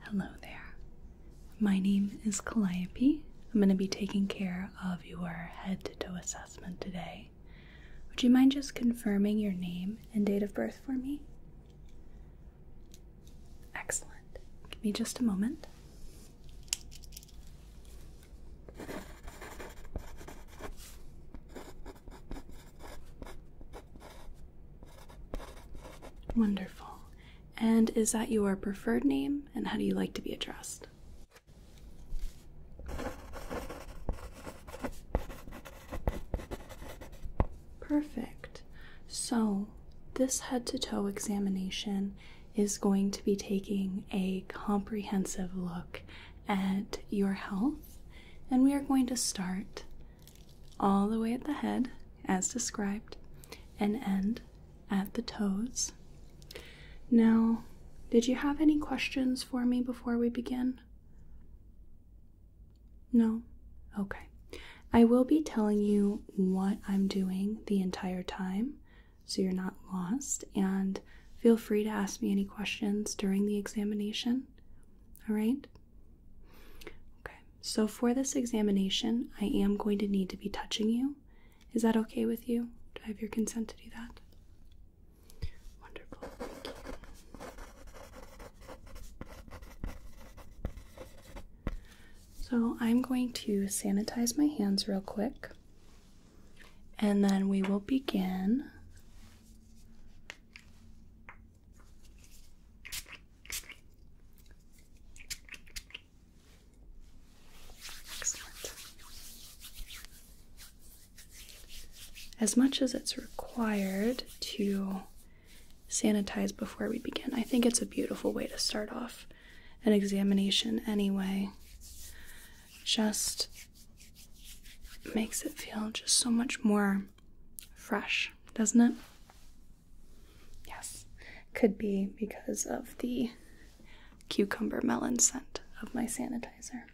Hello there. My name is Calliope. I'm going to be taking care of your head to toe assessment today. Would you mind just confirming your name and date of birth for me? Excellent. Give me just a moment. Wonderful. And is that your preferred name? And how do you like to be addressed? Perfect. So, this head to toe examination is going to be taking a comprehensive look at your health, and we are going to start all the way at the head, as described, and end at the toes. Now, did you have any questions for me before we begin? No? Okay. I will be telling you what I'm doing the entire time so you're not lost, and feel free to ask me any questions during the examination. All right? Okay so for this examination, I am going to need to be touching you. Is that okay with you? Do I have your consent to do that? Wonderful. So I'm going to sanitize my hands real quick. And then we will begin as much as it's required to sanitize before we begin, I think it's a beautiful way to start off an examination anyway. Just makes it feel just so much more fresh, doesn't it? Yes, could be because of the cucumber melon scent of my sanitizer.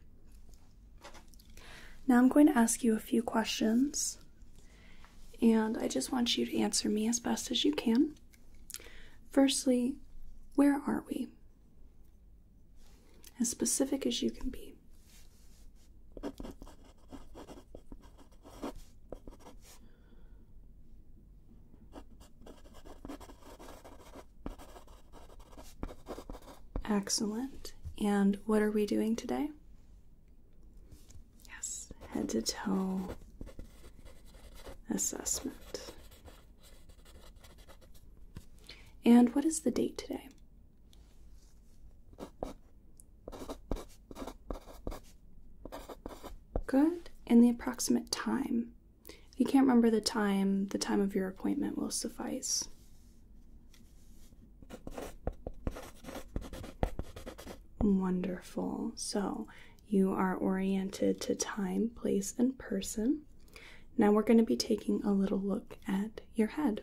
Now I'm going to ask you a few questions, and I just want you to answer me as best as you can. Firstly, where are we? As specific as you can be. Excellent. And what are we doing today? Yes, head to toe assessment. And what is the date today? Good. And the approximate time. If you can't remember the time, the time of your appointment will suffice. Wonderful. So you are oriented to time, place, and person. Now we're going to be taking a little look at your head.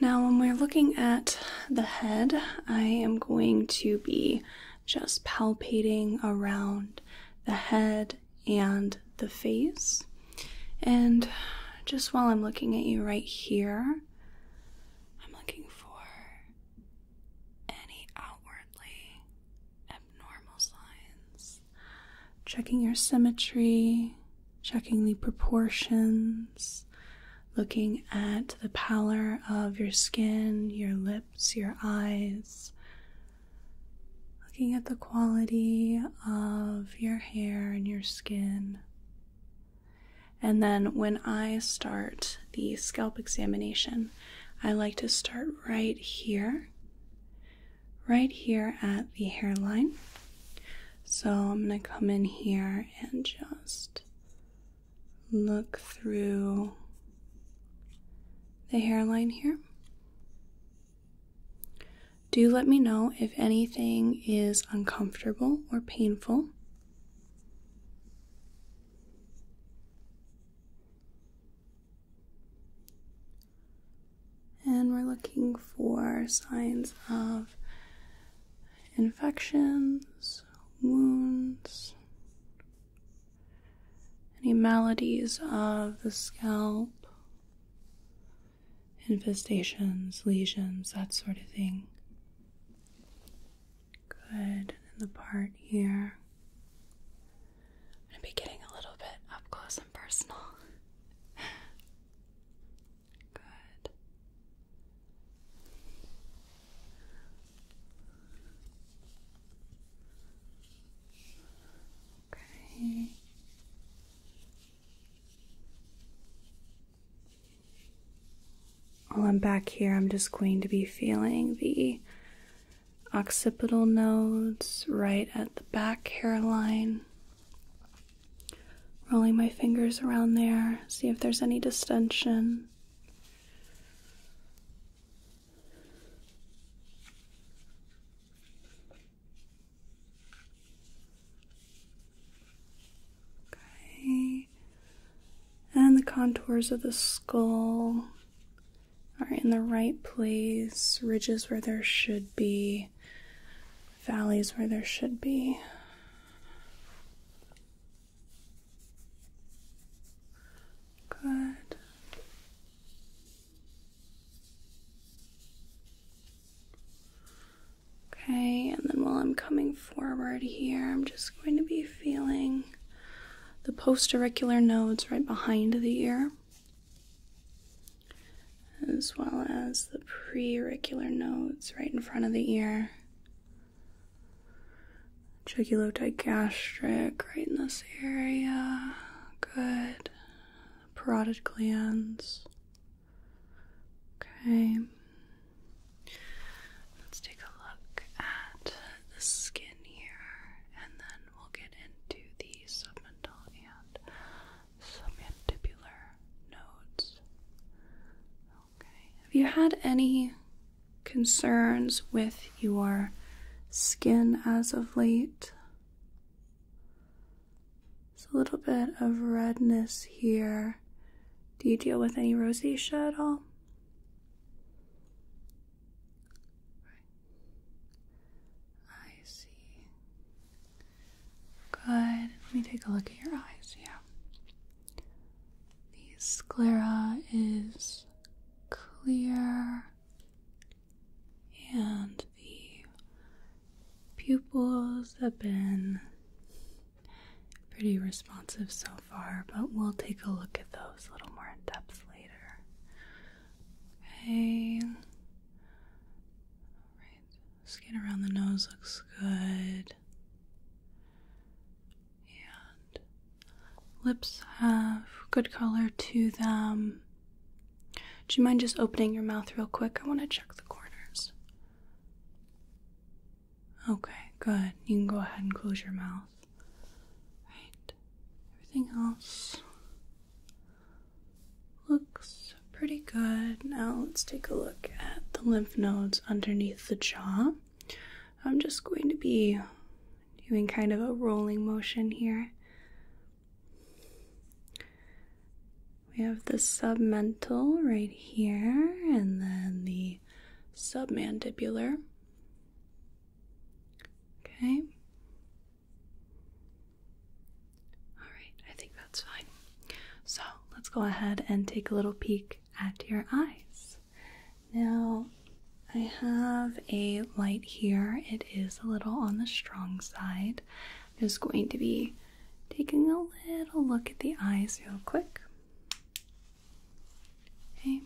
Now, when we're looking at the head, I am going to be just palpating around the head and the face. And just while I'm looking at you right here, I'm looking for any outwardly abnormal signs checking your symmetry, checking the proportions, looking at the pallor of your skin, your lips, your eyes, looking at the quality of your hair and your skin. And then when I start the scalp examination, I like to start right here right here at the hairline. So I'm going to come in here and just look through the hairline here. Do let me know if anything is uncomfortable or painful. And we're looking for signs of infections, wounds, any maladies of the scalp, infestations, lesions, that sort of thing. Good. And the part here. I'm going to be getting a little bit up close and personal. Good. Okay. While I'm back here, I'm just going to be feeling the occipital nodes right at the back hairline Rolling my fingers around there, see if there's any distension. Okay. And the contours of the skull are in the right place, ridges where there should be valleys where there should be. Good. Okay, and then while I'm coming forward here, I'm just going to be feeling the post auricular nodes right behind the ear as well as the preauricular nodes right in front of the ear, jugulotygastric right in this area, good, parotid glands, okay. Let's take a look at the skin here, and then we'll get into the submental and submandibular nodes. Okay. Have you had any concerns with your skin as of late? It's a little bit of redness here. Do you deal with any rosacea at all? I see. Good. Let me take a look at your eyes. Yeah. The sclera is clear, and the pupils have been pretty responsive so far, but we'll take a look at those a little more in depth later. Okay. All right. Skin around the nose looks good. And lips have good color to them. Do you mind just opening your mouth real quick? I want to check the corners. Okay, good. You can go ahead and close your mouth. Right. Everything else Looks pretty good. Now let's take a look at the lymph nodes underneath the jaw. I'm just going to be doing kind of a rolling motion here. We have the submental right here, and then the submandibular. Okay, Alright, I think that's fine. So let's go ahead and take a little peek at your eyes. Now, I have a light here. It is a little on the strong side. I'm just going to be taking a little look at the eyes real quick. Okay.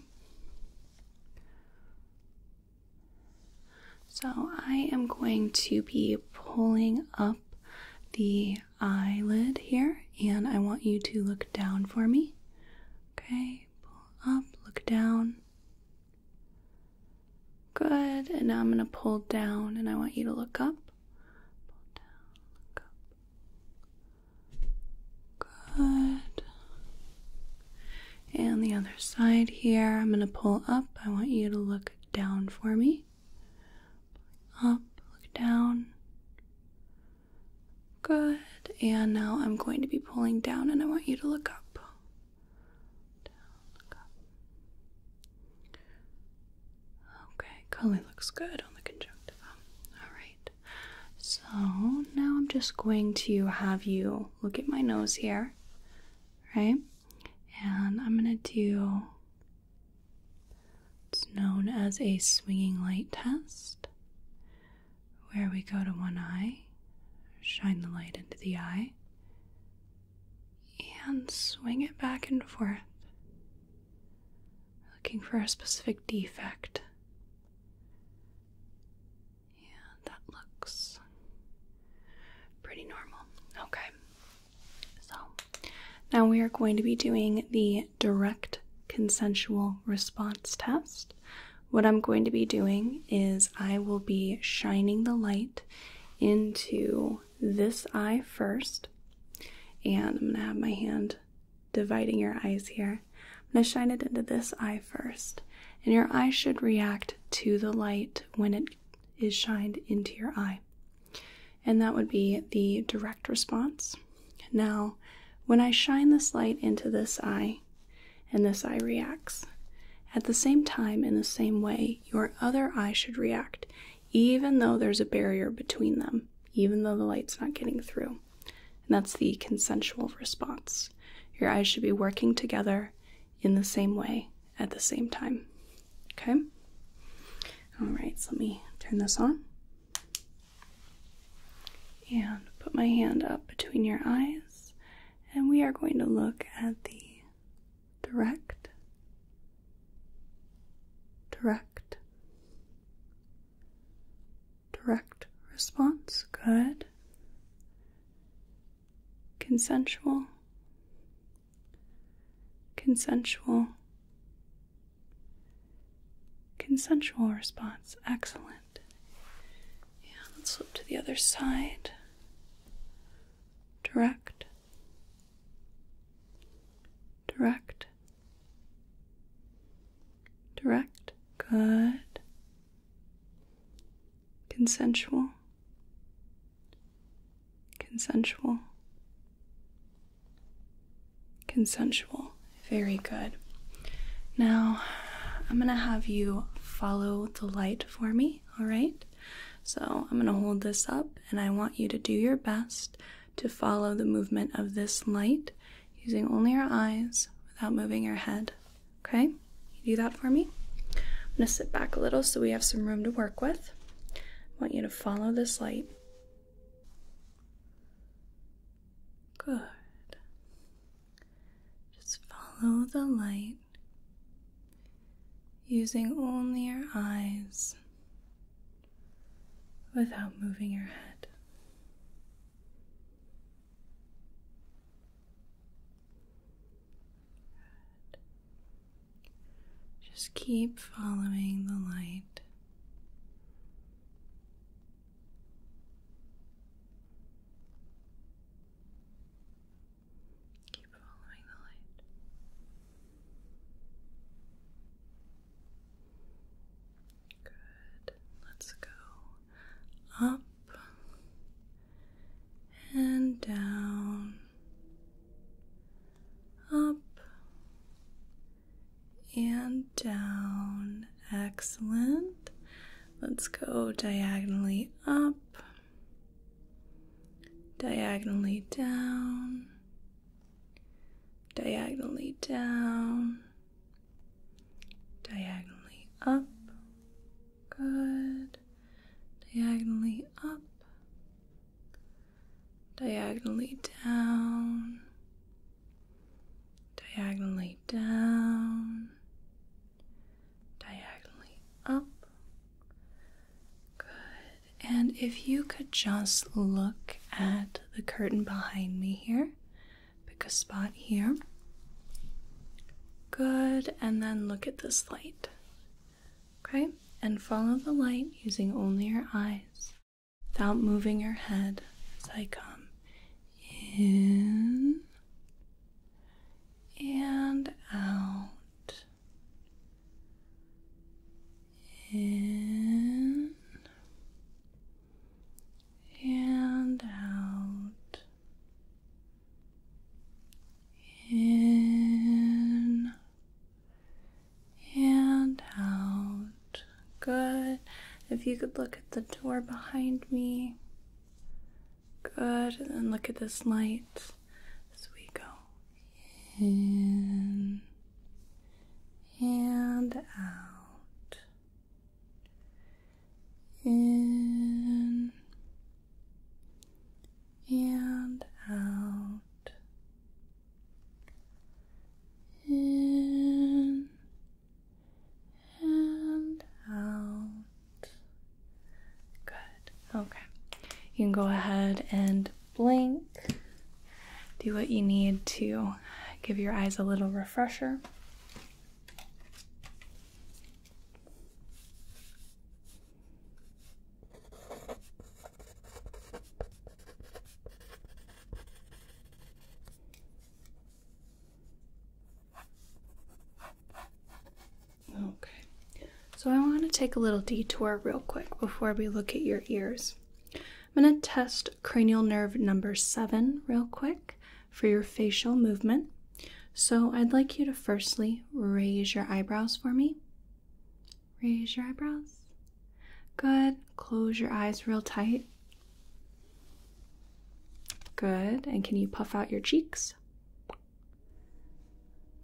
So I am going to be pulling up the eyelid here, and I want you to look down for me. Okay, pull up, look down. Good, and now I'm going to pull down, and I want you to look up. Pull down, look up. Good. And the other side here, I'm going to pull up. I want you to look down for me up, look down. Good. And now I'm going to be pulling down and I want you to look up. look up. Okay, color looks good on the conjunctiva. Alright. So now I'm just going to have you look at my nose here. Right? and I'm going to do it's known as a swinging light test, where we go to one eye, shine the light into the eye, and swing it back and forth, looking for a specific defect. Yeah, that looks pretty normal. Okay, so now we are going to be doing the direct consensual response test. What I'm going to be doing is I will be shining the light into this eye first, and I'm going to have my hand dividing your eyes here. I'm going to shine it into this eye first, and your eye should react to the light when it is shined into your eye. And that would be the direct response. Now, when I shine this light into this eye and this eye reacts, at the same time, in the same way, your other eye should react, even though there's a barrier between them, even though the light's not getting through. And that's the consensual response. Your eyes should be working together in the same way at the same time. Okay? All right, so let me turn this on. And put my hand up between your eyes, and we are going to look at the direct, direct, direct response. Good. Consensual, Consensual. Consensual response. Excellent. Yeah, let's flip to the other side. Direct. Direct. Direct. Good. Consensual. Consensual. Consensual. Very good. Now, I'm going to have you follow the light for me, all right? So, I'm going to hold this up and I want you to do your best to follow the movement of this light using only your eyes without moving your head. Okay? do that for me? I'm going to sit back a little so we have some room to work with. I want you to follow this light. Good. Just follow the light using only your eyes without moving your head. Just keep following the light. Keep following the light. Good. Let's go up and down, up and down. Excellent. Let's go diagonally up, diagonally down, diagonally down, diagonally up, Good. Diagonally up, diagonally down, diagonally down, diagonally up. Good. And if you could just look at the curtain behind me here, pick a spot here. Good, and then look at this light. Okay? And follow the light using only your eyes without moving your head as I come in and out. In and out in and out. Good. If you could look at the door behind me. Good. And look at this light as we go in and out. In and out in and out good okay you can go ahead and blink do what you need to give your eyes a little refresher Okay, so I want to take a little detour real quick before we look at your ears. I'm going to test cranial nerve number seven real quick for your facial movement. So I'd like you to firstly raise your eyebrows for me. Raise your eyebrows. Good. Close your eyes real tight. Good. And can you puff out your cheeks?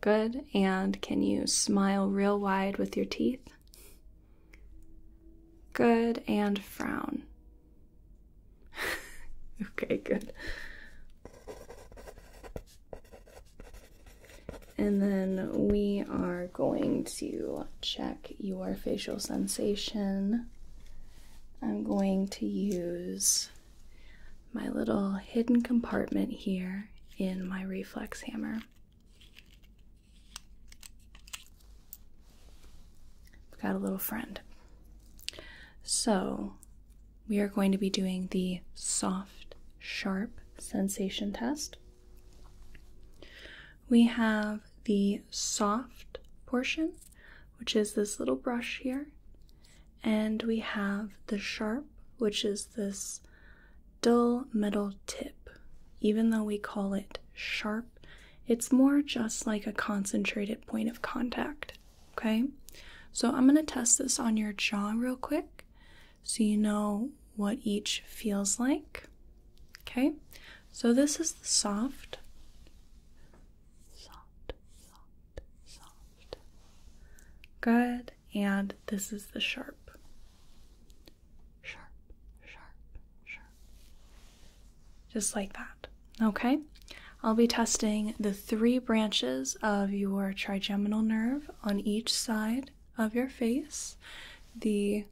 Good. And can you smile real wide with your teeth? Good. And frown. okay, good. And then we are going to check your facial sensation. I'm going to use my little hidden compartment here in my reflex hammer. I've got a little friend. So we are going to be doing the soft, sharp sensation test. We have the soft portion, which is this little brush here, and we have the sharp, which is this dull metal tip. Even though we call it sharp, it's more just like a concentrated point of contact. Okay, so I'm going to test this on your jaw real quick so you know what each feels like. Okay, so this is the soft, soft, soft, soft. Good, and this is the sharp. Sharp, sharp, sharp. Just like that. Okay, I'll be testing the three branches of your trigeminal nerve on each side of your face the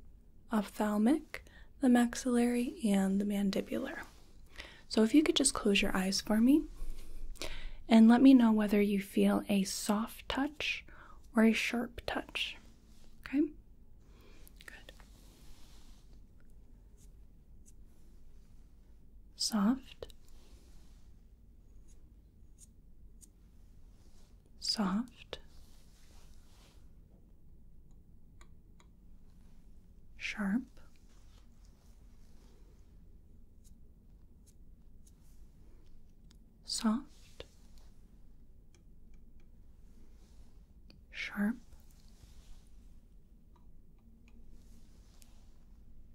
ophthalmic, the maxillary, and the mandibular. So, if you could just close your eyes for me and let me know whether you feel a soft touch or a sharp touch. Okay? Good soft, soft, sharp. Soft, sharp,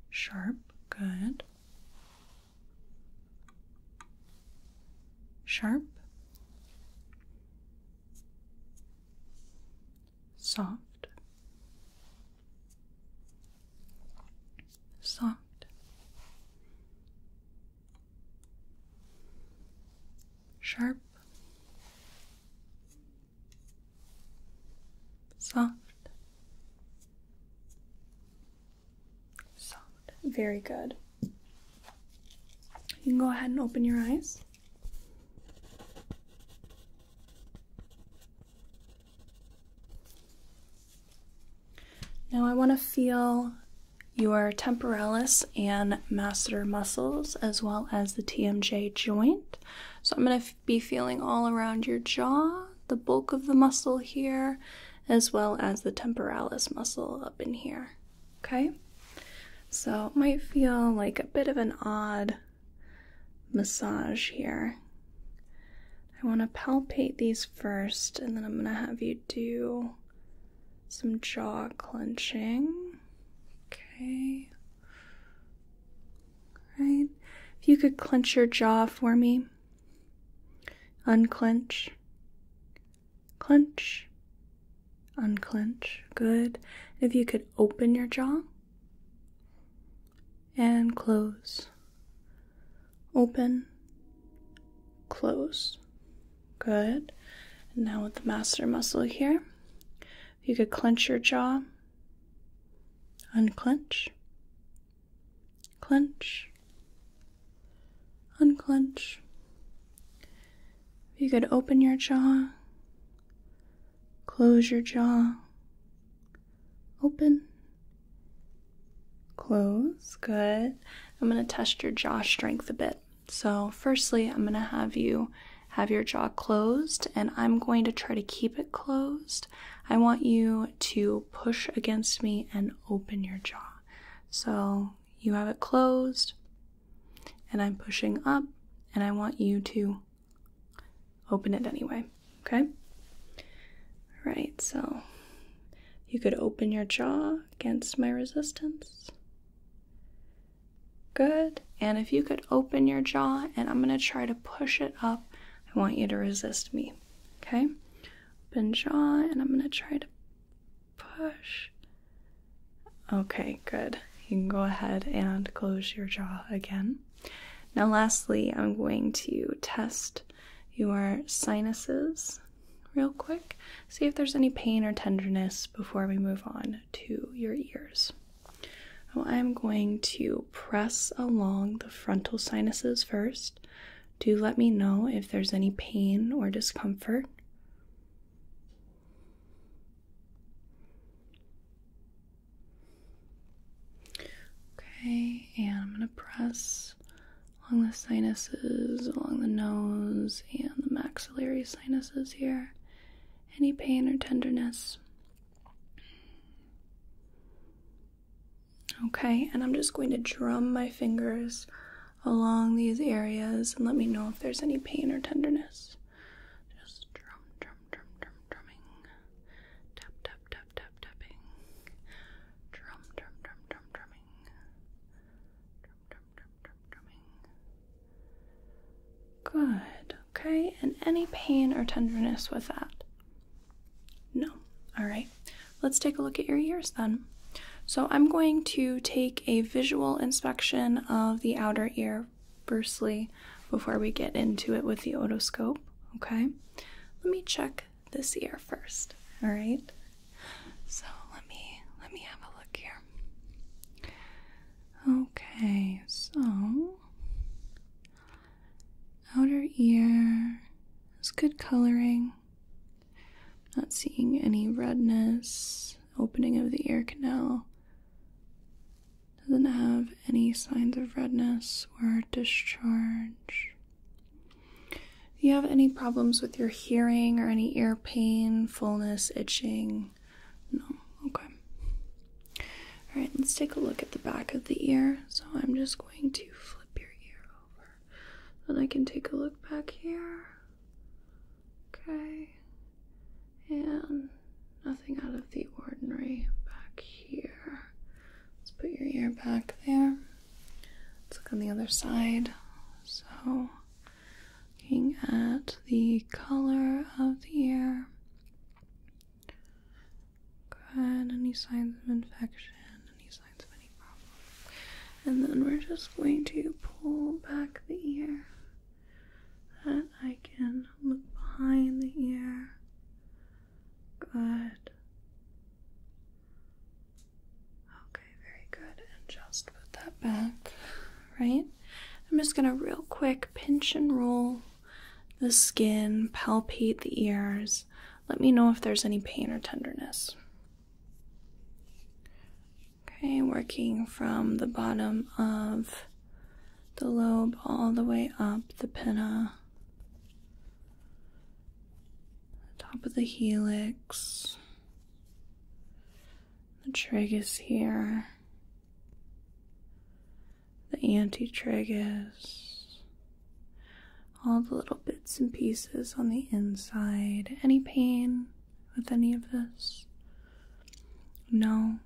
sharp, good. Sharp, soft, soft, sharp, Soft. Soft. Very good. You can go ahead and open your eyes. Now I want to feel your temporalis and masseter muscles as well as the TMJ joint. So I'm going to be feeling all around your jaw, the bulk of the muscle here, as well as the temporalis muscle up in here. Okay? So it might feel like a bit of an odd massage here. I want to palpate these first, and then I'm going to have you do some jaw clenching. Okay. Right. If you could clench your jaw for me. Unclench. Clench. Unclench. Good. If you could open your jaw and close. Open. Close. Good. And now with the master muscle here, if you could clench your jaw, unclench, Clench, unclench. If you could open your jaw, close your jaw, open, close. Good. I'm going to test your jaw strength a bit. So, firstly, I'm going to have you have your jaw closed and I'm going to try to keep it closed. I want you to push against me and open your jaw. So you have it closed, and I'm pushing up, and I want you to open it anyway. Okay? Right, so you could open your jaw against my resistance. Good. And if you could open your jaw, and I'm going to try to push it up I want you to resist me. Okay? Open jaw, and I'm gonna try to push. Okay, good. You can go ahead and close your jaw again. Now, lastly, I'm going to test your sinuses real quick, see if there's any pain or tenderness before we move on to your ears. I'm going to press along the frontal sinuses first Do let me know if there's any pain or discomfort. Okay, and I'm going to press along the sinuses, along the nose, and the maxillary sinuses here. Any pain or tenderness? Okay, and I'm just going to drum my fingers along these areas and let me know if there's any pain or tenderness. Just drum, drum, drum, drum, drumming. Tap, tap, tap, tap, tapping. Drum, drum, drum, drum, drumming. Drum, drum, drum, drum, drumming. Good, okay, and any pain or tenderness with that? No. All right. Let's take a look at your ears then. So I'm going to take a visual inspection of the outer ear firstly before we get into it with the otoscope. Okay. Let me check this ear first. All right. So let me let me have a look here. Okay. So outer ear is good coloring. Not seeing any redness, opening of the ear canal. Doesn't have any signs of redness or discharge. Do you have any problems with your hearing or any ear pain, fullness, itching? No, okay. Alright, let's take a look at the back of the ear. So I'm just going to flip your ear over. Then I can take a look back here. Okay. And nothing out of the ordinary back here. Let's put your ear back there. Let's look on the other side. So, looking at the color of the ear. Good. Any signs of infection? Any signs of any problem? And then we're just going to pull back the ear. That I can look behind the ear. Good. Okay, very good. And just put that back, right? I'm just gonna real quick pinch and roll the skin, palpate the ears. Let me know if there's any pain or tenderness. Okay, working from the bottom of the lobe all the way up the pinna, the top of the helix, the tragus here, the antitragus, all the little bits and pieces on the inside. Any pain with any of this? No,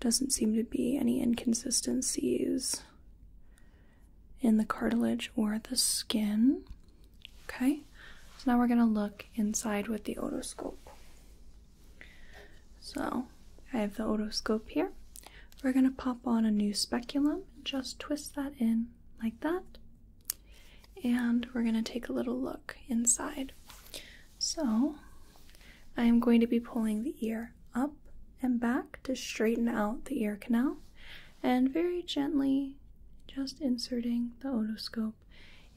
doesn't seem to be any inconsistencies in the cartilage or the skin. Okay, so now we're going to look inside with the otoscope. So I have the otoscope here. We're going to pop on a new speculum and just twist that in like that. And we're going to take a little look inside. So I am going to be pulling the ear up and back to straighten out the ear canal and very gently just inserting the otoscope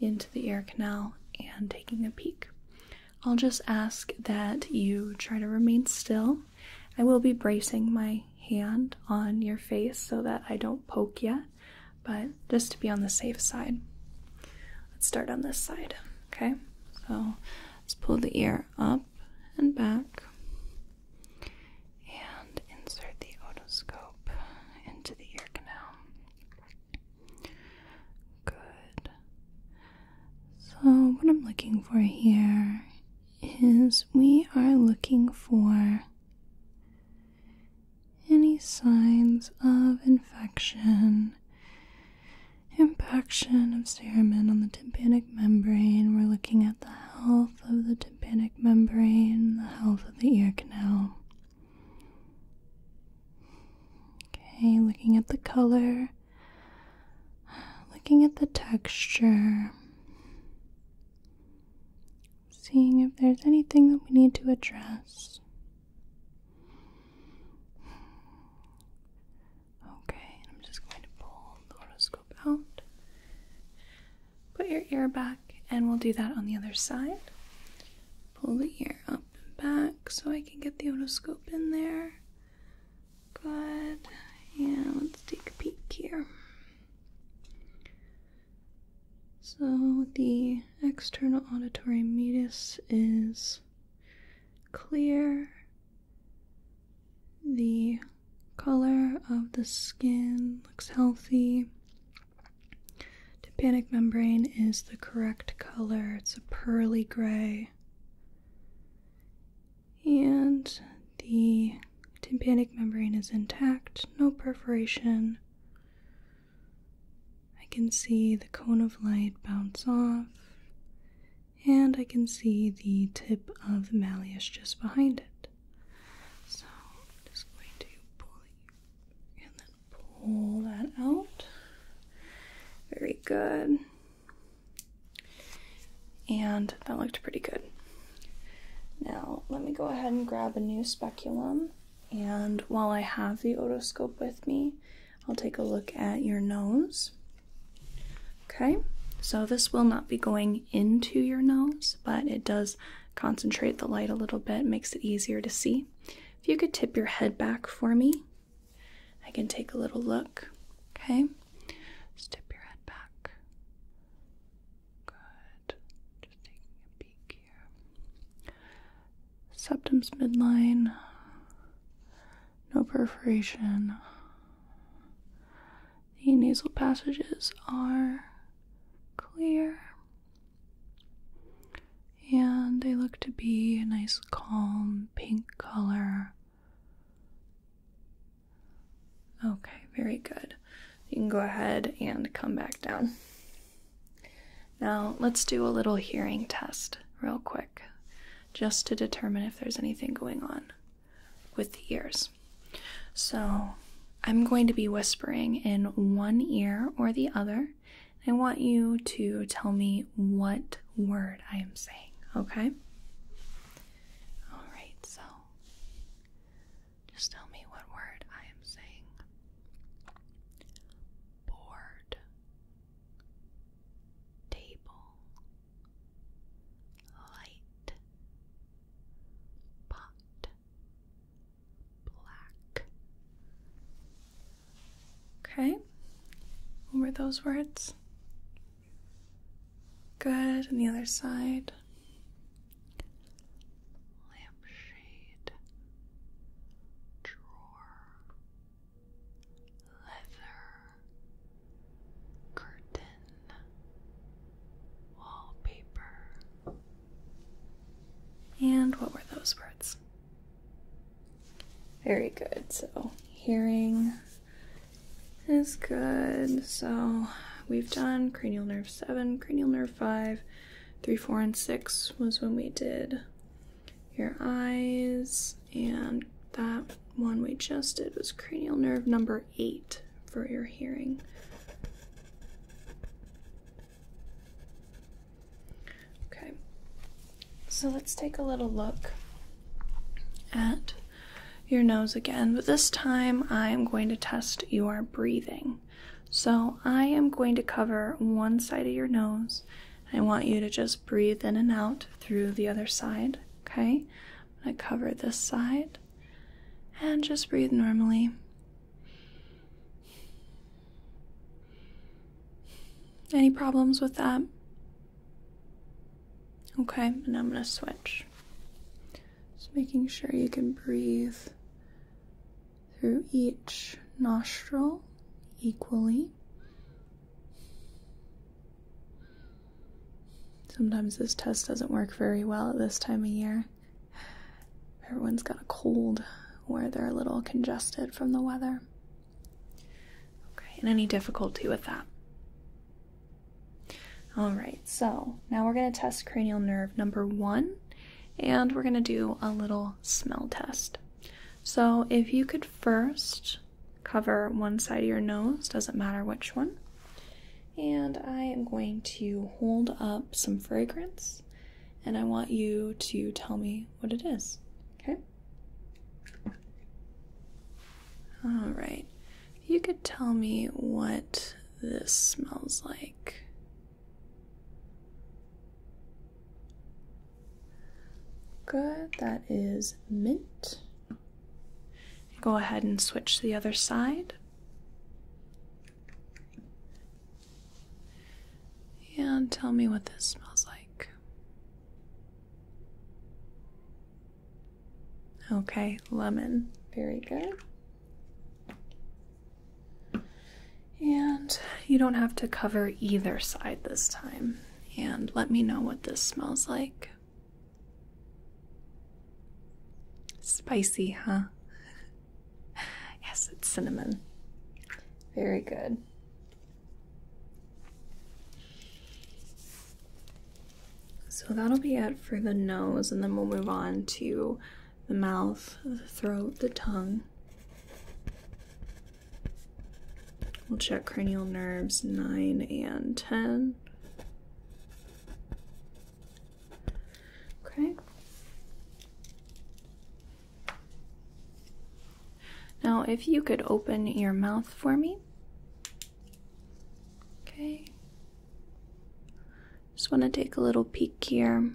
into the ear canal and taking a peek. I'll just ask that you try to remain still. I will be bracing my hand on your face so that I don't poke yet, but just to be on the safe side. Let's start on this side, okay? So let's pull the ear up and back and insert the otoscope into the ear canal. Good. So, what I'm looking for here is we are looking for any signs of infection, impaction of cerumen on the tympanic membrane. We're looking at the health of the tympanic membrane, the health of the ear canal. Okay, looking at the color Looking at the texture, seeing if there's anything that we need to address. Okay, I'm just going to pull the horoscope out. Put your ear back, and we'll do that on the other side. Pull the ear up and back so I can get the otoscope in there. Good. Yeah, let's take a peek here. So the external auditory meatus is clear. The color of the skin looks healthy. Tympanic membrane is the correct color. It's a pearly gray and the tympanic membrane is intact, no perforation. I can see the cone of light bounce off, and I can see the tip of the malleus just behind it. So just going to pull and then pull that out. Very good. And that looked pretty good. Now, let me go ahead and grab a new speculum. And while I have the otoscope with me, I'll take a look at your nose. Okay, so this will not be going into your nose, but it does concentrate the light a little bit, makes it easier to see. If you could tip your head back for me, I can take a little look. Okay? tip your head back. Good. Just taking a peek here. Septum's midline. No perforation. The nasal passages are clear. And they look to be a nice calm pink color Okay, very good. You can go ahead and come back down. Now, let's do a little hearing test real quick just to determine if there's anything going on with the ears. So, I'm going to be whispering in one ear or the other. I want you to tell me what word I am saying, okay? Alright, so just tell me what word I am saying. Board, table, light, pot, black. Okay, what were those words? Good. And the other side. Lampshade. Drawer. Leather. Curtain. Wallpaper. And what were those words? Very good. So hearing is good. So we've done cranial nerve 7, cranial nerve 5, 3, 4, and 6 was when we did your eyes. And that one we just did was cranial nerve number 8 for your hearing. Okay, so let's take a little look at your nose again, but this time I am going to test your breathing. So I am going to cover one side of your nose. I want you to just breathe in and out through the other side, okay? I'm going to cover this side and just breathe normally. Any problems with that? Okay, and I'm going to switch. Just making sure you can breathe through each nostril equally. Sometimes this test doesn't work very well at this time of year. Everyone's got a cold or they're a little congested from the weather. Okay, and any difficulty with that? All right, so now we're going to test cranial nerve number one, and we're going to do a little smell test. So, if you could first cover one side of your nose, doesn't matter which one, and I am going to hold up some fragrance, and I want you to tell me what it is, okay? All right. You could tell me what this smells like. Good. That is mint. Go ahead and switch the other side. And tell me what this smells like. Okay, lemon. Very good. And you don't have to cover either side this time. And let me know what this smells like. Spicy, huh? yes, it's cinnamon. Very good. So that'll be it for the nose, and then we'll move on to the mouth, the throat, the tongue. We'll check cranial nerves 9 and 10. Okay. Now, if you could open your mouth for me. Okay. Just want to take a little peek here.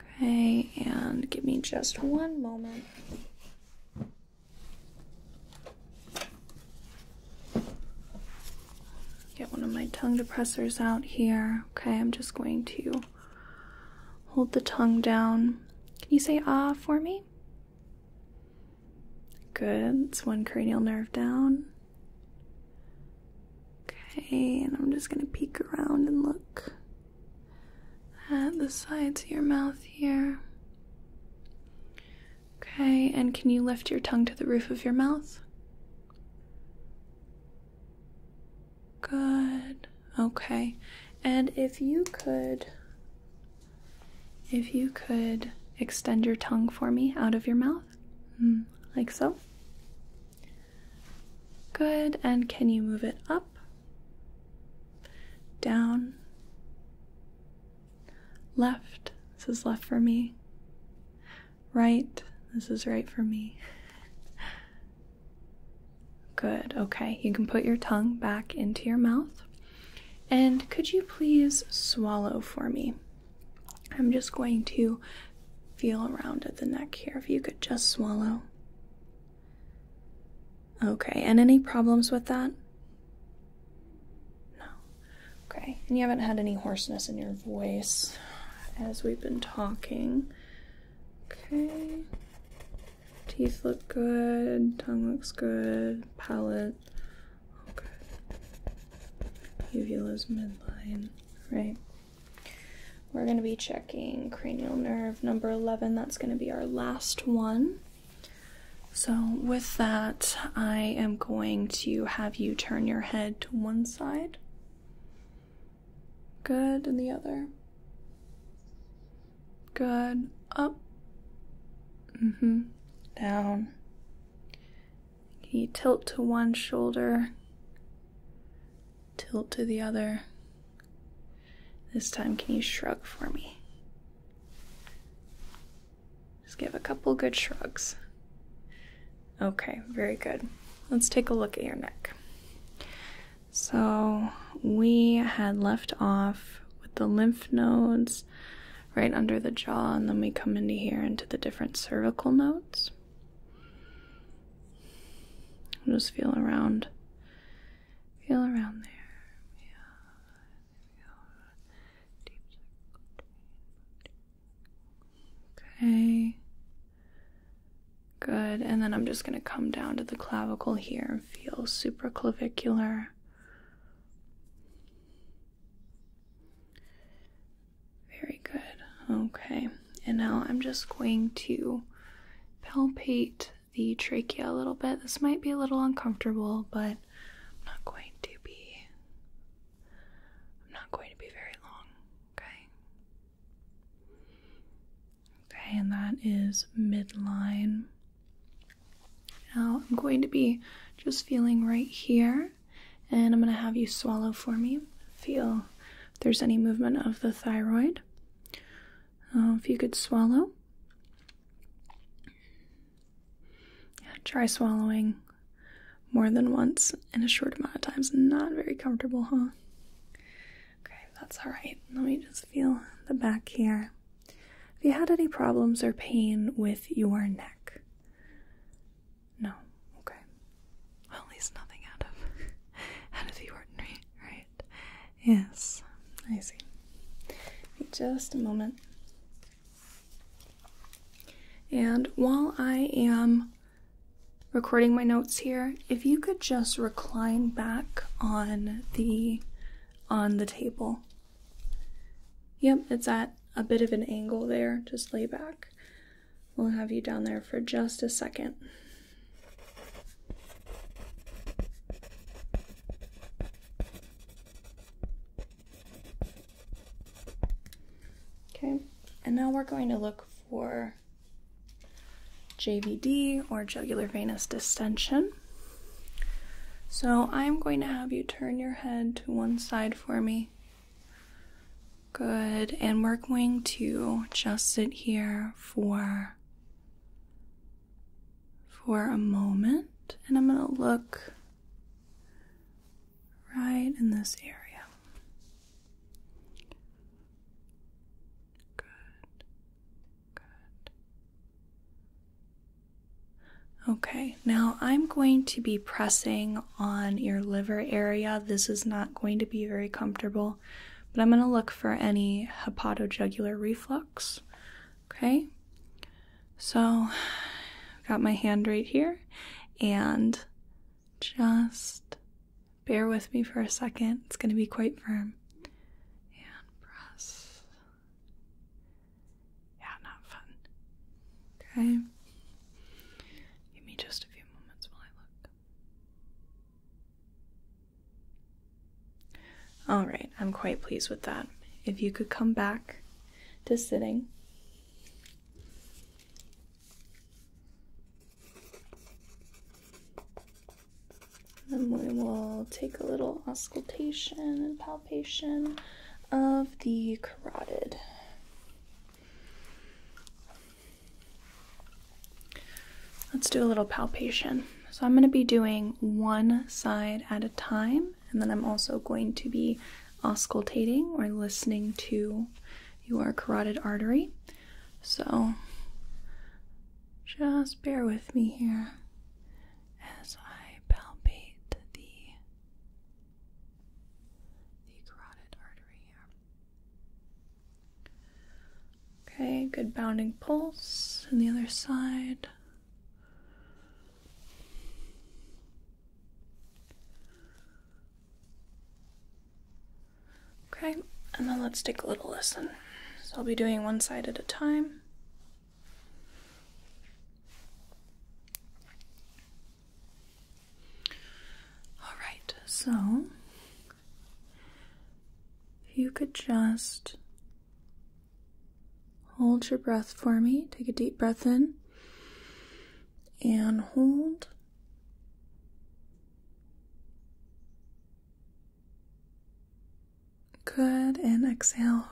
Okay, and give me just one moment. Get one of my tongue depressors out here. Okay, I'm just going to Hold the tongue down. Can you say ah for me? Good. It's one cranial nerve down. Okay, and I'm just going to peek around and look at the sides of your mouth here. Okay, and can you lift your tongue to the roof of your mouth? Good. Okay. And if you could, if you could extend your tongue for me out of your mouth, mm, like so. Good. And can you move it up, down, left? This is left for me right? This is right for me. Good, okay. You can put your tongue back into your mouth. And could you please swallow for me? I'm just going to feel around at the neck here. If you could just swallow. Okay, and any problems with that? No. Okay, and you haven't had any hoarseness in your voice as we've been talking. Okay. Teeth look good, tongue looks good, palate. Okay. Uvula's midline. Right. We're going to be checking cranial nerve number 11. That's going to be our last one. So, with that, I am going to have you turn your head to one side. Good, and the other. Good. Up. hmm. Down. Can you tilt to one shoulder? Tilt to the other. This time, can you shrug for me? Just give a couple good shrugs. Okay, very good. Let's take a look at your neck. So, we had left off with the lymph nodes right under the jaw, and then we come into here into the different cervical nodes. just feel around, feel around there. Okay. Good. And then I'm just going to come down to the clavicle here and feel supraclavicular. Very good. Okay. And now I'm just going to palpate the trachea a little bit. This might be a little uncomfortable, but I'm not going to be I'm not going to be very long, okay? Okay, and that is midline. Now I'm going to be just feeling right here, and I'm going to have you swallow for me. Feel if there's any movement of the thyroid. Uh, if you could swallow. try swallowing more than once in a short amount of time is not very comfortable, huh? Okay, that's all right. Let me just feel the back here. Have you had any problems or pain with your neck? No. Okay. at least nothing out of out of the ordinary, right? Yes. I see. just a moment. And while I am recording my notes here, if you could just recline back on the on the table. Yep, it's at a bit of an angle there. Just lay back. We'll have you down there for just a second. Okay, and now we're going to look for JVD or jugular venous distension. So I'm going to have you turn your head to one side for me. Good, and we're going to just sit here for for a moment and I'm going to look right in this area. Good. Good. Okay, now I'm going to be pressing on your liver area. This is not going to be very comfortable, but I'm going to look for any hepatojugular reflux. Okay, so I've got my hand right here and just Bear with me for a second. It's going to be quite firm. And press. Yeah, not fun. Okay. Give me just a few moments while I look. All right, I'm quite pleased with that. If you could come back to sitting. Then we will take a little auscultation and palpation of the carotid. Let's do a little palpation. So I'm going to be doing one side at a time, and then I'm also going to be auscultating or listening to your carotid artery. So just bear with me here as I palpate the the carotid artery here. Okay, good bounding pulse on the other side. Okay, and then let's take a little lesson. So I'll be doing one side at a time. Alright, so if you could just hold your breath for me, take a deep breath in and hold. Good, and exhale.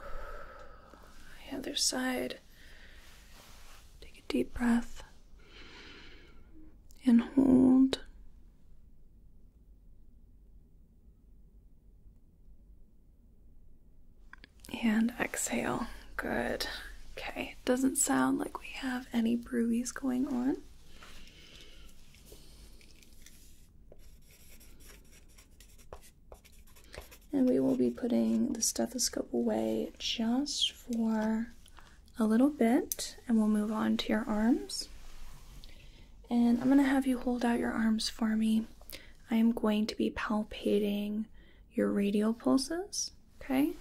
The other side. Take a deep breath and hold. And exhale. Good. Okay it doesn't sound like we have any bruises going on. And we will be putting the stethoscope away just for a little bit, and we'll move on to your arms. And I'm going to have you hold out your arms for me. I am going to be palpating your radial pulses. Okay,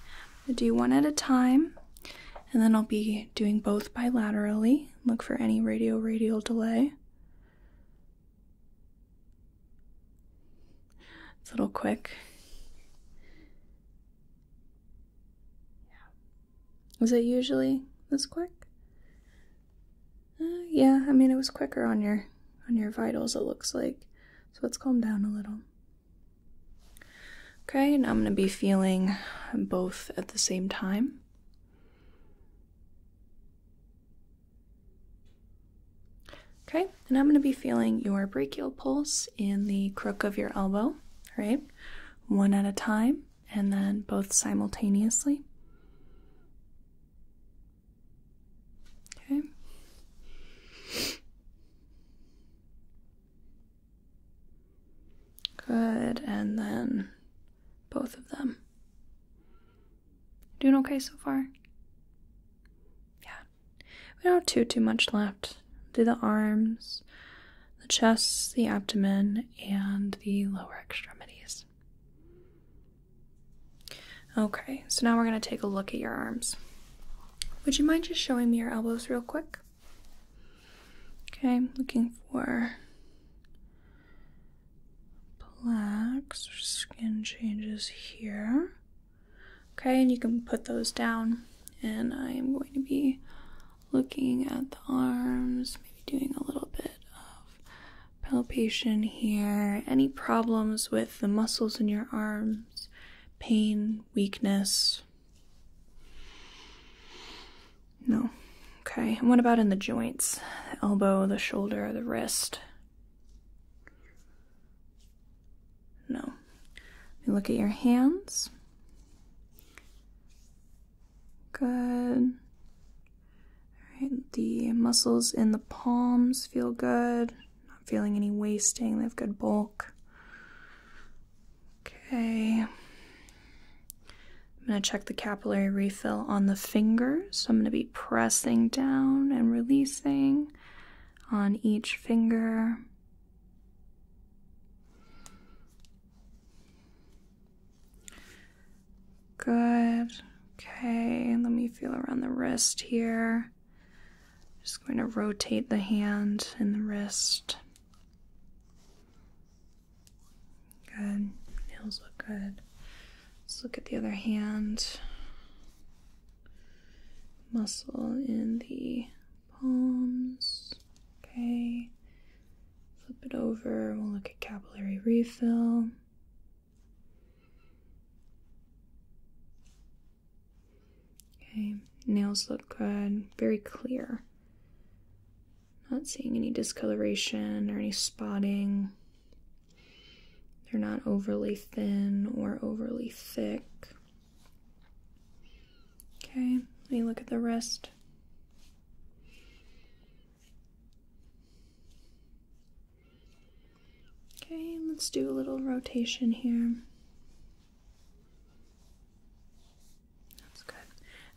i do one at a time, and then I'll be doing both bilaterally. Look for any radio radial delay. It's a little quick. Yeah. Was it usually this quick? Uh, yeah, I mean it was quicker on your on your vitals. It looks like. So let's calm down a little. Okay, now I'm going to be feeling both at the same time. Okay, and I'm going to be feeling your brachial pulse in the crook of your elbow, right? One at a time, and then both simultaneously. Okay. Good, and then both of them. Doing okay so far? Yeah. We don't have too too much left. Do the arms, the chest, the abdomen, and the lower extremities. Okay, so now we're gonna take a look at your arms. Would you mind just showing me your elbows real quick? Okay, I'm looking for blacks or skin changes here. Okay, and you can put those down. And I am going to be looking at the arms, maybe doing a little bit of palpation here. Any problems with the muscles in your arms? Pain, weakness? No. Okay, and what about in the joints? elbow, the shoulder, the wrist? No. look at your hands. Good. the muscles in the palms feel good. Not feeling any wasting, they have good bulk. Okay. I'm going to check the capillary refill on the finger. So I'm going to be pressing down and releasing on each finger. Good. Okay, let me feel around the wrist here. Just going to rotate the hand and the wrist. Good. Nails look good. Let's look at the other hand. Muscle in the palms. Okay. Flip it over. We'll look at capillary refill. Okay, nails look good, very clear. Not seeing any discoloration or any spotting. They're not overly thin or overly thick. Okay, let me look at the wrist. Okay, let's do a little rotation here. That's good.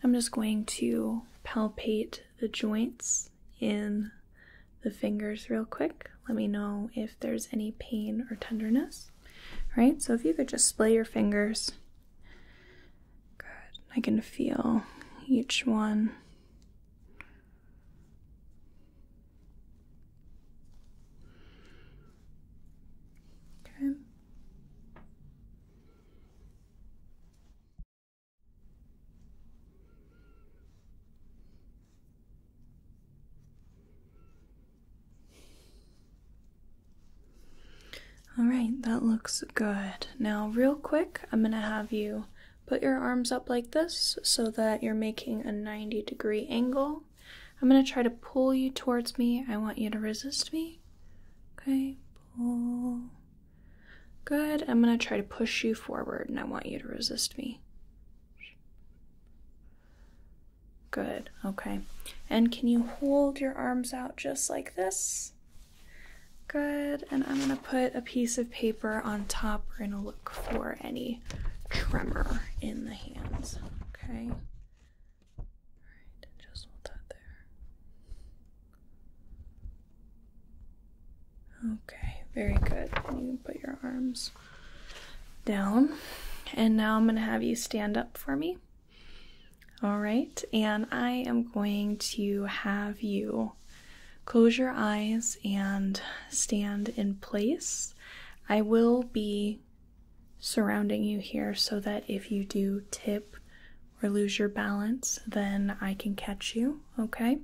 I'm just going to palpate the joints in the fingers real quick. Let me know if there's any pain or tenderness. All right, so if you could just splay your fingers. Good. I can feel each one. Okay. All right, that looks good. Now, real quick, I'm going to have you put your arms up like this so that you're making a 90 degree angle. I'm going to try to pull you towards me. I want you to resist me. Okay, pull. Good. I'm going to try to push you forward and I want you to resist me. Good. Okay. And can you hold your arms out just like this? Good. And I'm going to put a piece of paper on top. We're going to look for any tremor in the hands. Okay. Alright, just hold that there. Okay, very good. you can put your arms down. And now I'm going to have you stand up for me. All right, and I am going to have you close your eyes and stand in place. I will be surrounding you here so that if you do tip or lose your balance, then I can catch you, okay?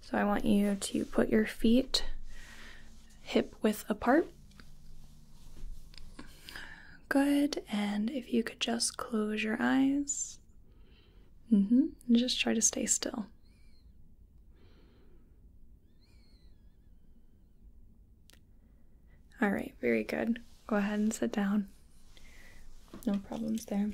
So I want you to put your feet hip width apart. Good, and if you could just close your eyes. Mm-hmm, just try to stay still. All right, very good. Go ahead and sit down. No problems there.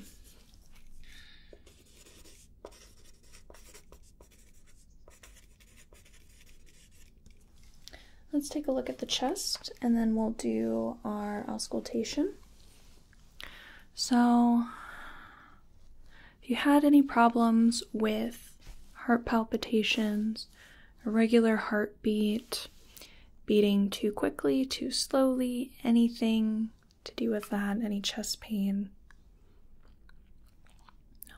Let's take a look at the chest and then we'll do our auscultation. So, if you had any problems with heart palpitations, irregular heartbeat, beating too quickly, too slowly, anything to do with that, any chest pain? No.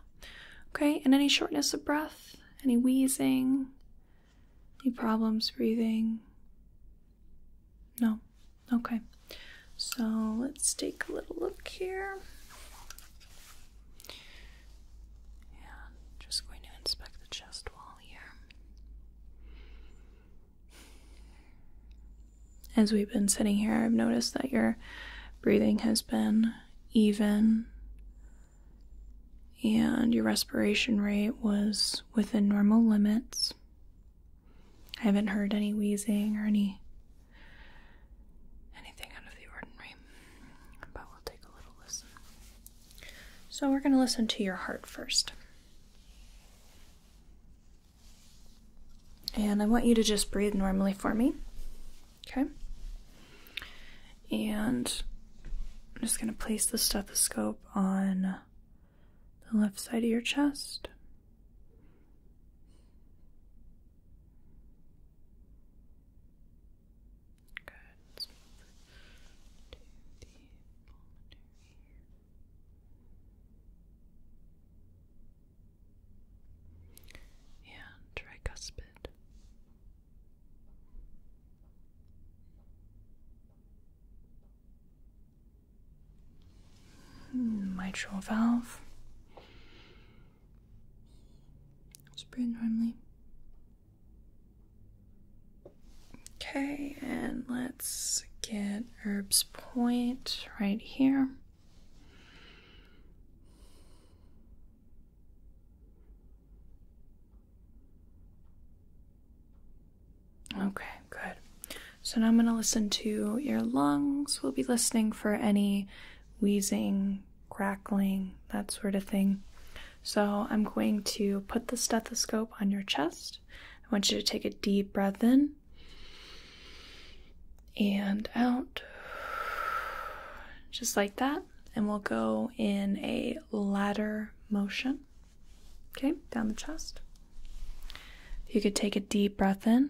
Okay, and any shortness of breath, any wheezing, any problems breathing? No. Okay. So let's take a little look here. And just going to inspect the chest wall here. As we've been sitting here, I've noticed that your breathing has been even and your respiration rate was within normal limits. I haven't heard any wheezing or any anything out of the ordinary, but we'll take a little listen. So, we're going to listen to your heart first. And I want you to just breathe normally for me. Okay? And I'm just going to place the stethoscope on the left side of your chest. Good. to the pulmonary. And tricuspid. Hmm, mitral valve. Just normally. Okay, and let's get Herb's point right here. Okay, good. So now I'm going to listen to your lungs. We'll be listening for any wheezing, crackling, that sort of thing. So, I'm going to put the stethoscope on your chest. I want you to take a deep breath in and out, just like that. And we'll go in a ladder motion, okay, down the chest. you could take a deep breath in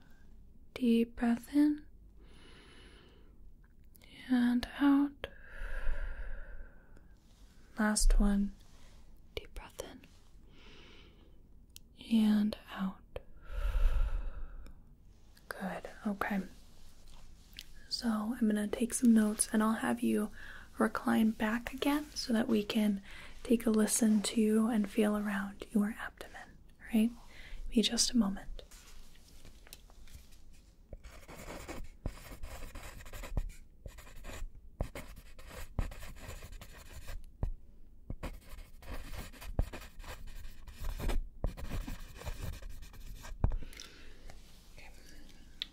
Deep breath in and out. Last one. Deep breath in and out. Good. Okay. So I'm going to take some notes and I'll have you recline back again so that we can take a listen to and feel around your abdomen right? Be just a moment.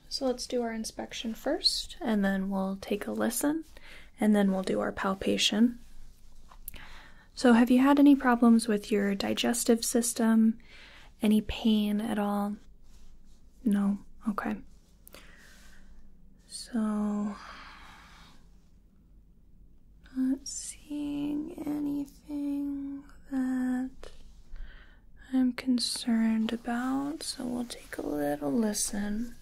So let's do our inspection first, and then we'll take a listen, and then we'll do our palpation. So, have you had any problems with your digestive system? Any pain at all? No? Okay. So, not seeing anything that I'm concerned about, so we'll take a little listen.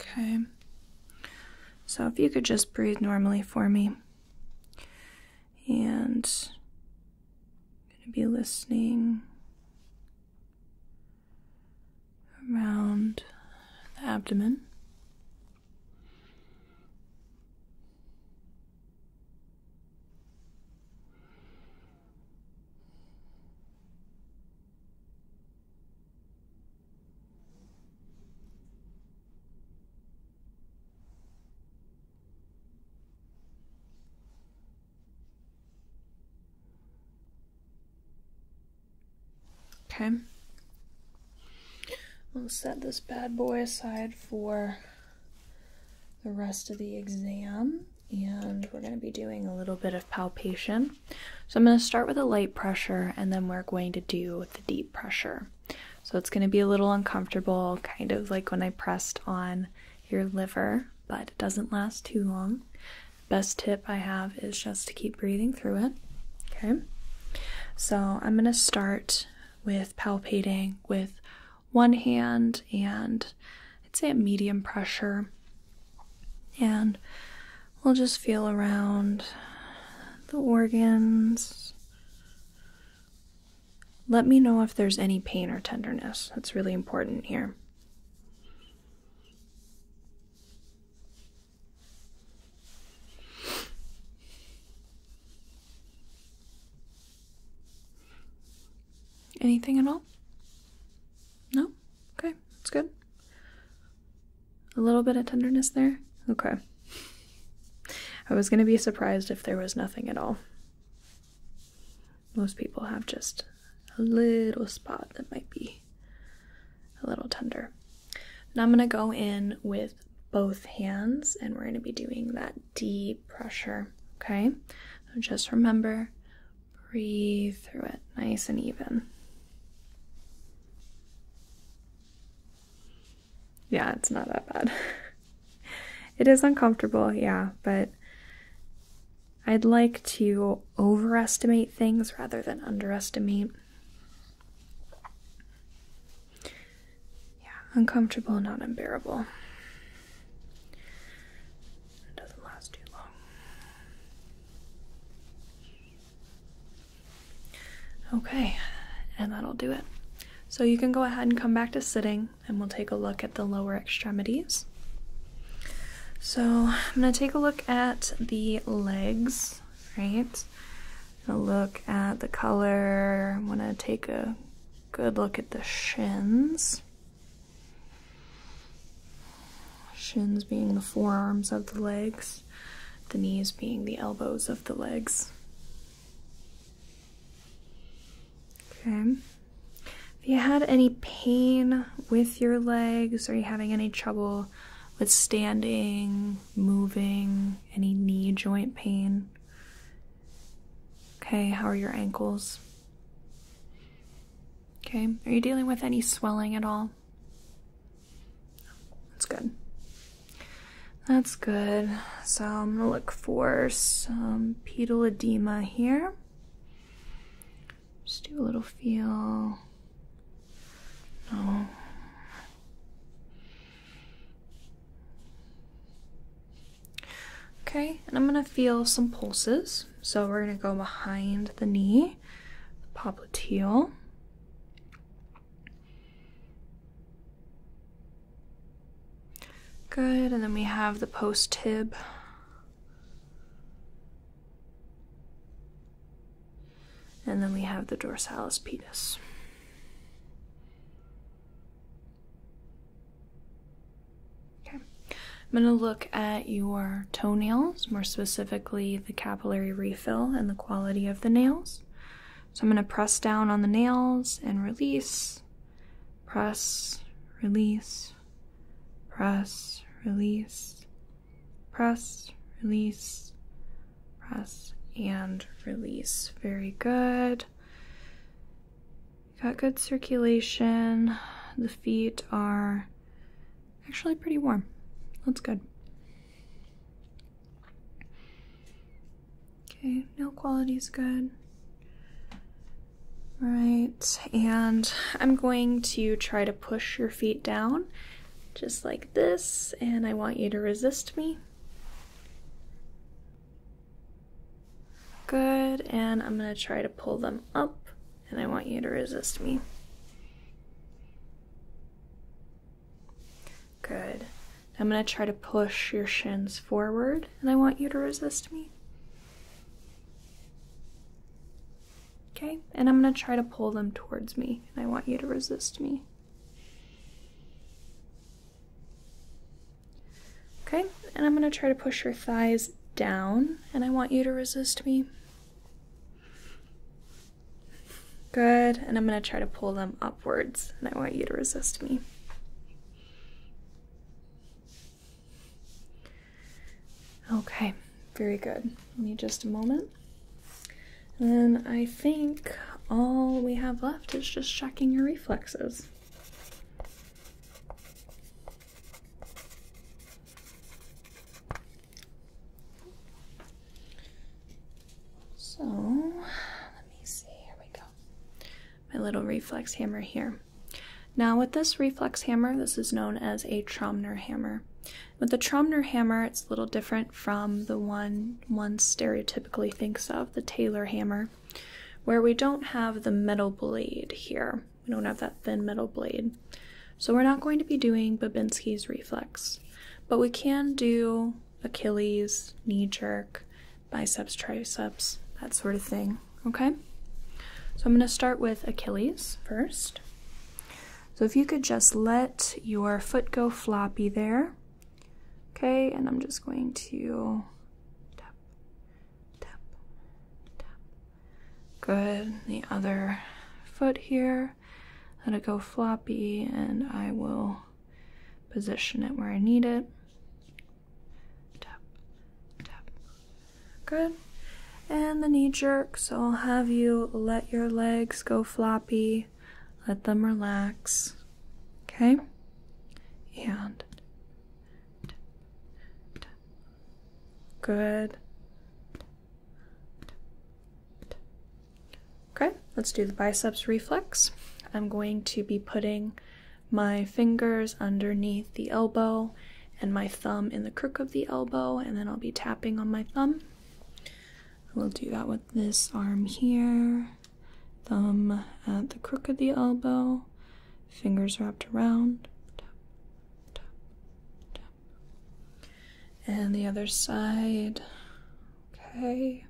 Okay. So if you could just breathe normally for me. And I'm going to be listening around the abdomen. Okay. I'll set this bad boy aside for the rest of the exam and we're going to be doing a little bit of palpation. So I'm going to start with a light pressure and then we're going to do the deep pressure. So it's going to be a little uncomfortable, kind of like when I pressed on your liver, but it doesn't last too long. Best tip I have is just to keep breathing through it. Okay. So I'm going to start with palpating with one hand and I'd say a medium pressure. And we'll just feel around the organs. Let me know if there's any pain or tenderness. That's really important here. Anything at all? No? Okay. Okay, that's good. A little bit of tenderness there? Okay. I was going to be surprised if there was nothing at all. Most people have just a little spot that might be a little tender. Now I'm going to go in with both hands and we're going to be doing that deep pressure. Okay, just remember Breathe through it, nice and even. Yeah, it's not that bad. it is uncomfortable, yeah, but I'd like to overestimate things rather than underestimate. Yeah, uncomfortable, not unbearable. It doesn't last too long. Okay, and that'll do it. So you can go ahead and come back to sitting, and we'll take a look at the lower extremities. So I'm going to take a look at the legs, right? I'm going to look at the color. I'm going to take a good look at the shins. Shins being the forearms of the legs, the knees being the elbows of the legs. Okay. Have you had any pain with your legs, or you having any trouble with standing, moving, any knee joint pain? Okay, how are your ankles? Okay, are you dealing with any swelling at all? That's good. That's good. So I'm gonna look for some pedal edema here. Just do a little feel. No. Okay, and I'm gonna feel some pulses. So we're going to go behind the knee, the popliteal. Good, and then we have the post tib. And then we have the dorsalis pedis. Okay. I'm going to look at your toenails, more specifically the capillary refill and the quality of the nails. So I'm going to press down on the nails and release, press, release, press, release, press, release, press, and release. Very good. Got good circulation. The feet are actually pretty warm. That's good. Okay, nail is good. Right, and I'm going to try to push your feet down just like this, and I want you to resist me. Good, and I'm gonna try to pull them up and I want you to resist me. Good. I'm going to try to push your shins forward, and I want you to resist me. Okay, and I'm going to try to pull them towards me, and I want you to resist me. Okay, and I'm going to try to push your thighs down and I want you to resist me. Good, and I'm going to try to pull them upwards and I want you to resist me. Okay, very good. Give me just a moment. And I think all we have left is just checking your reflexes. So let me see, here we go. My little reflex hammer here. Now, with this reflex hammer, this is known as a Tromner hammer. With the Tromner hammer, it's a little different from the one one stereotypically thinks of, the Taylor hammer, where we don't have the metal blade here. We don't have that thin metal blade. So we're not going to be doing Babinski's reflex, but we can do Achilles, knee jerk, biceps, triceps, that sort of thing, okay? So I'm going to start with Achilles first. So if you could just let your foot go floppy there, okay, and I'm just going to Good. The other foot here. Let it go floppy, and I will position it where I need it. Good. And the knee jerk. So I'll have you let your legs go floppy, let them relax. Okay? And Good. Okay, let's do the biceps reflex. I'm going to be putting my fingers underneath the elbow and my thumb in the crook of the elbow, and then I'll be tapping on my thumb. We'll do that with this arm here, thumb at the crook of the elbow, fingers wrapped around, and the other side. Okay.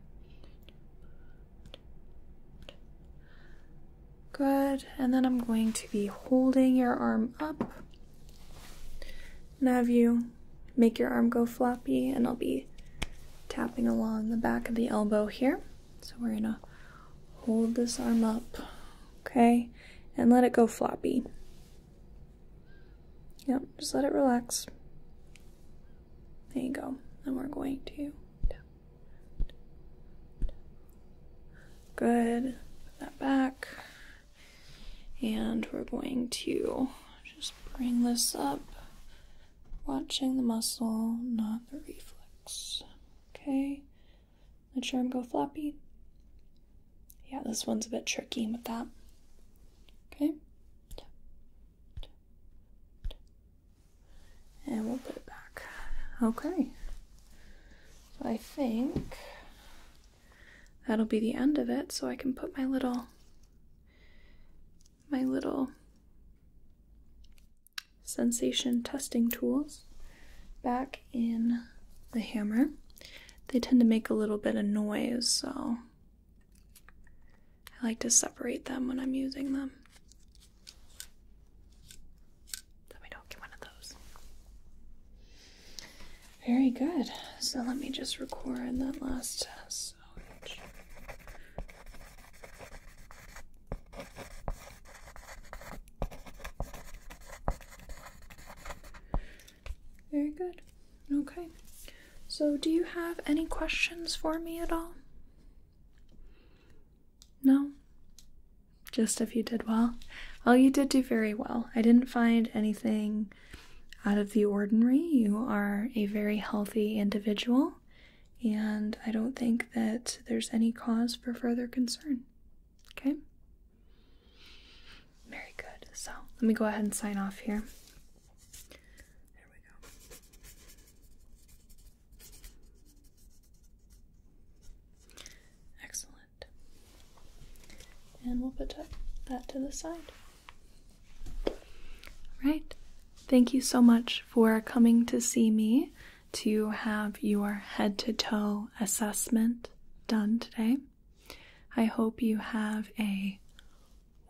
Good. And then I'm going to be holding your arm up and have you make your arm go floppy, and I'll be tapping along the back of the elbow here. So we're going to hold this arm up okay? And let it go floppy. Yep, just let it relax. There you go. And we're going to. Good. Put that back. And we're going to just bring this up, watching the muscle, not the reflex. Okay? Let your arm go floppy. Yeah, this one's a bit tricky with that. Okay. And we'll put it back. Okay. I think that'll be the end of it. So I can put my little, my little sensation testing tools back in the hammer, they tend to make a little bit of noise, so I like to separate them when I'm using them. So we don't get one of those. Very good. So let me just record that last test. Very good. Okay. So, do you have any questions for me at all? No? Just if you did well? Well, you did do very well. I didn't find anything out of the ordinary. You are a very healthy individual, and I don't think that there's any cause for further concern. Okay? Very good. So let me go ahead and sign off here. There we go. Excellent. And we'll put that to the side. All right. Thank you so much for coming to see me to have your head to toe assessment done today. I hope you have a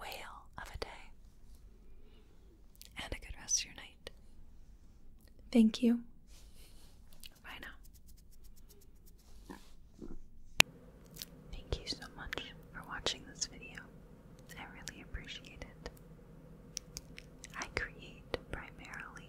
whale of a day and a good rest of your night. Thank you. Bye Thank you so much for watching this video. I really appreciate it. I create primarily